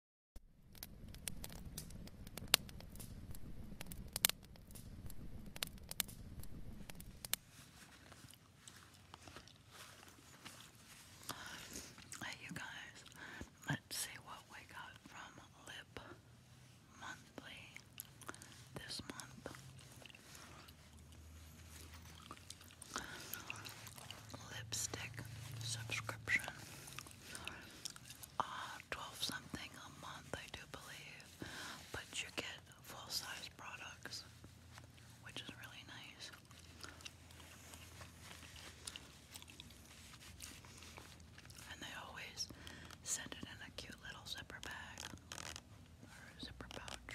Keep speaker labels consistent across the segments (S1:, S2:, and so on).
S1: Hey, you guys, let's see what we got from Lip Monthly this month. Lipstick subscription uh, 12 something a month, I do believe. But you get full size products, which is really nice. And they always send it in a cute little zipper bag or zipper pouch.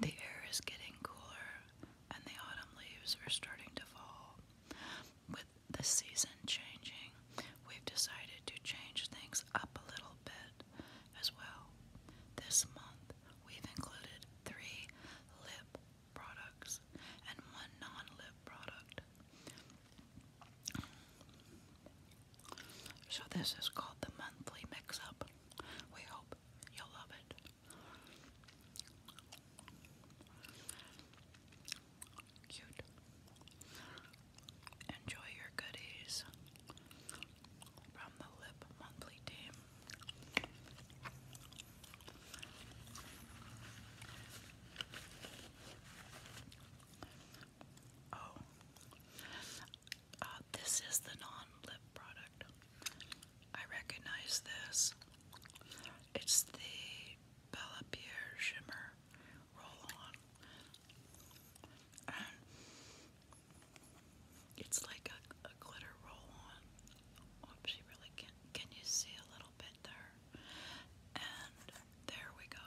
S1: The air is getting cooler, and the autumn leaves are starting to fall. With the season changing, we've decided to change things up a little bit as well. This month, we've included three lip products and one non lip product. So, this is called the monthly mix up. We hope you'll love it. Cute. Enjoy your goodies from the Lip Monthly team. Oh, uh, this is the non-lip product. I recognize this. It's the Bella Pierre Shimmer Roll-On. it's like a, glitter roll-on. can Can you see a little bit there? And there we go.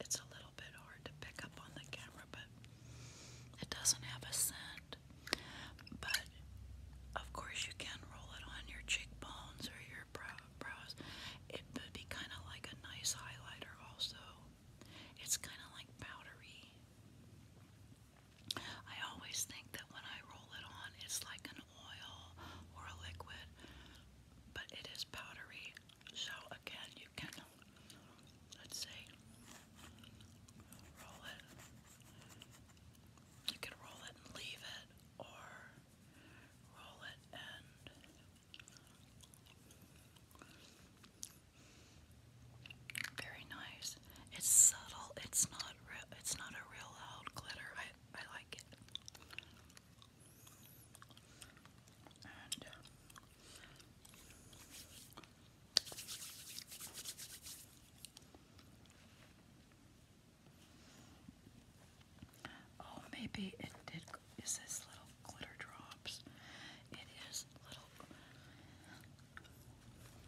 S1: It's a little bit hard to pick up on the camera, but it doesn't have a scent, but of course you can roll it on your cheekbones or your brows. It would be kind of like a nice highlighter also. It's kind of like powdery. I always think that when I roll it on, it's like an oil or a liquid, but it is powdery. So again, you can let's say, roll it. You can roll it and leave it, or roll it and very nice. It's subtle. It's not real. It's not a real loud glitter. I I like it. Oh, maybe it did. Is this little glitter drops? It is little.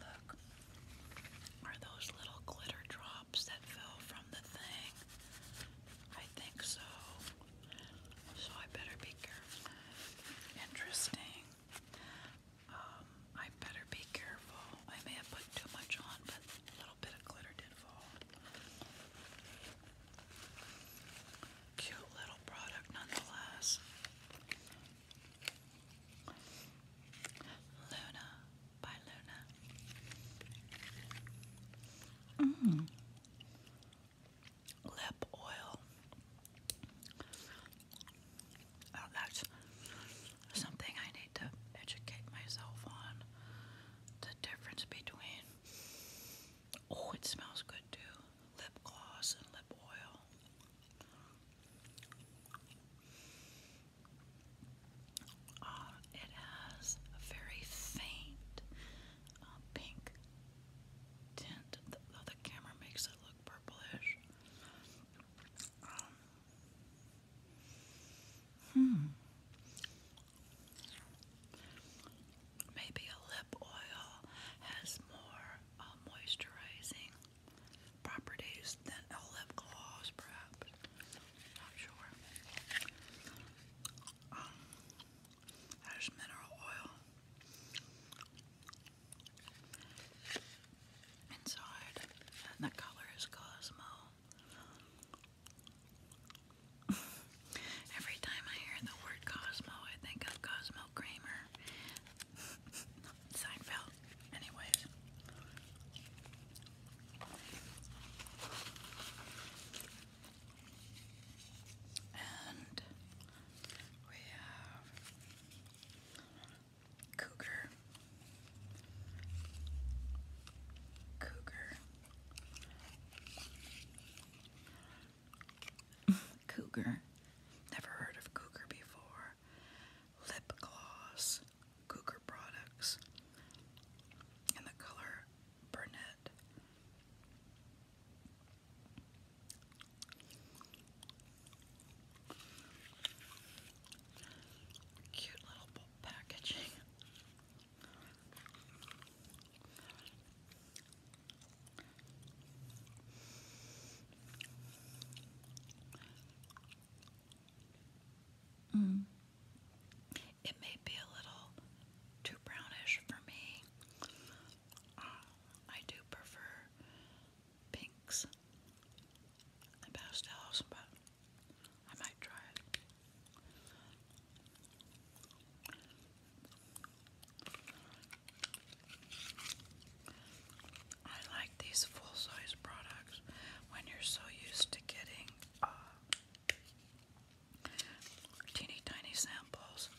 S1: Look, are those little glitter drops that fell from the thing? I think so so I better be careful. Interesting. Um, I better be careful. I may have put too much on, but a little bit of glitter did fall. Cute little product, nonetheless. Luna by Luna. Mmm lip oil. Oh, that's something I need to educate myself on. The difference between oh, it smells good too. Lip gloss and lip oil. Uh, it has a very faint uh, pink tint, though the camera makes it look purplish. Um, hmm. Maybe a lip oil has more uh, moisturizing properties than a lip gloss, perhaps. Not sure. Um, there's mineral oil inside, and the color is Cosmo. Every time I hear the word Cosmo, I think of Cosmo Kramer. Seinfeld. Anyways. And we have Cougar, Cougar, Cougar. Never heard of Cougar before. Lip gloss, Cougar products, in the color brunette. Cute little packaging. Mm. It may be a little too brownish for me. Uh, I do prefer pinks and pastels, but I might try it. I like these full size products when you're so used to getting uh, teeny tiny samples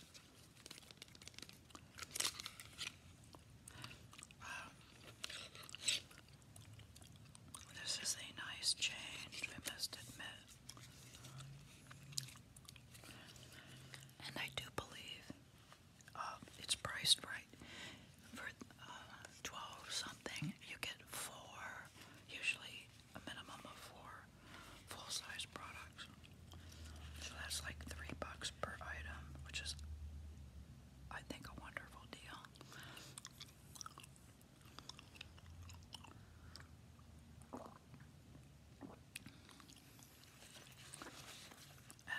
S1: this is a nice change, we must admit. And I do believe um, it's priced right. For uh, 12 something, you get four, usually a minimum of four full-size products. So that's like three bucks per item, which is, I think, a wonderful deal. And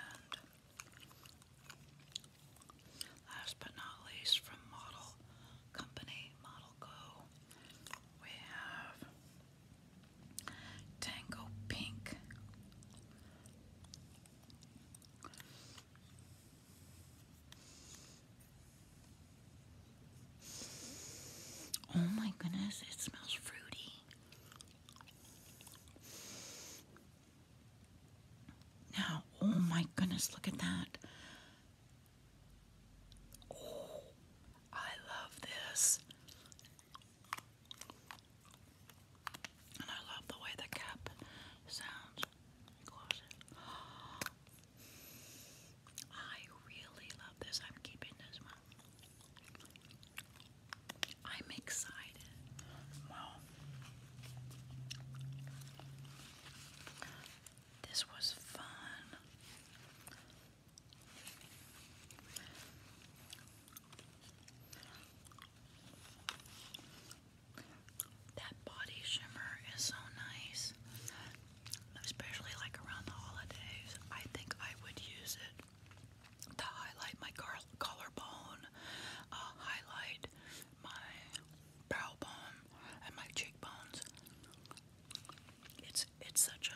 S1: last but not least, from Model Company Model Go, we have Tango Pink. Oh my goodness, it smells fruity. Now, oh my goodness, look at that. Oh, I love this. And I love the way the cap sounds. I really love this. I'm keeping this one. I'm excited. Wow. This was fun. That body shimmer is so nice, especially like around the holidays. I think I would use it to highlight my collarbone, uh, highlight my brow bone, and my cheekbones it's such a,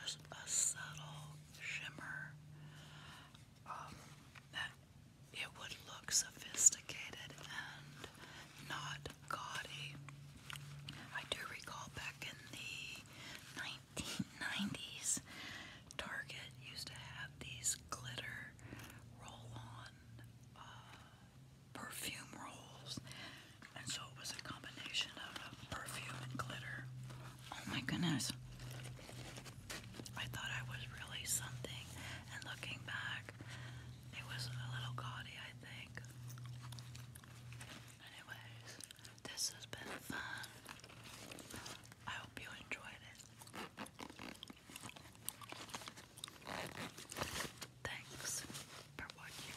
S1: subtle shimmer um, that it would look sophisticated and not gaudy. I do recall back in the 1990s, Target used to have these glitter roll-on uh, perfume rolls and so it was a combination of uh, perfume and glitter. Oh my goodness. I thought I was really something, and looking back, it was a little gaudy, I think. Anyways, this has been fun. I hope you enjoyed it. Thanks for watching.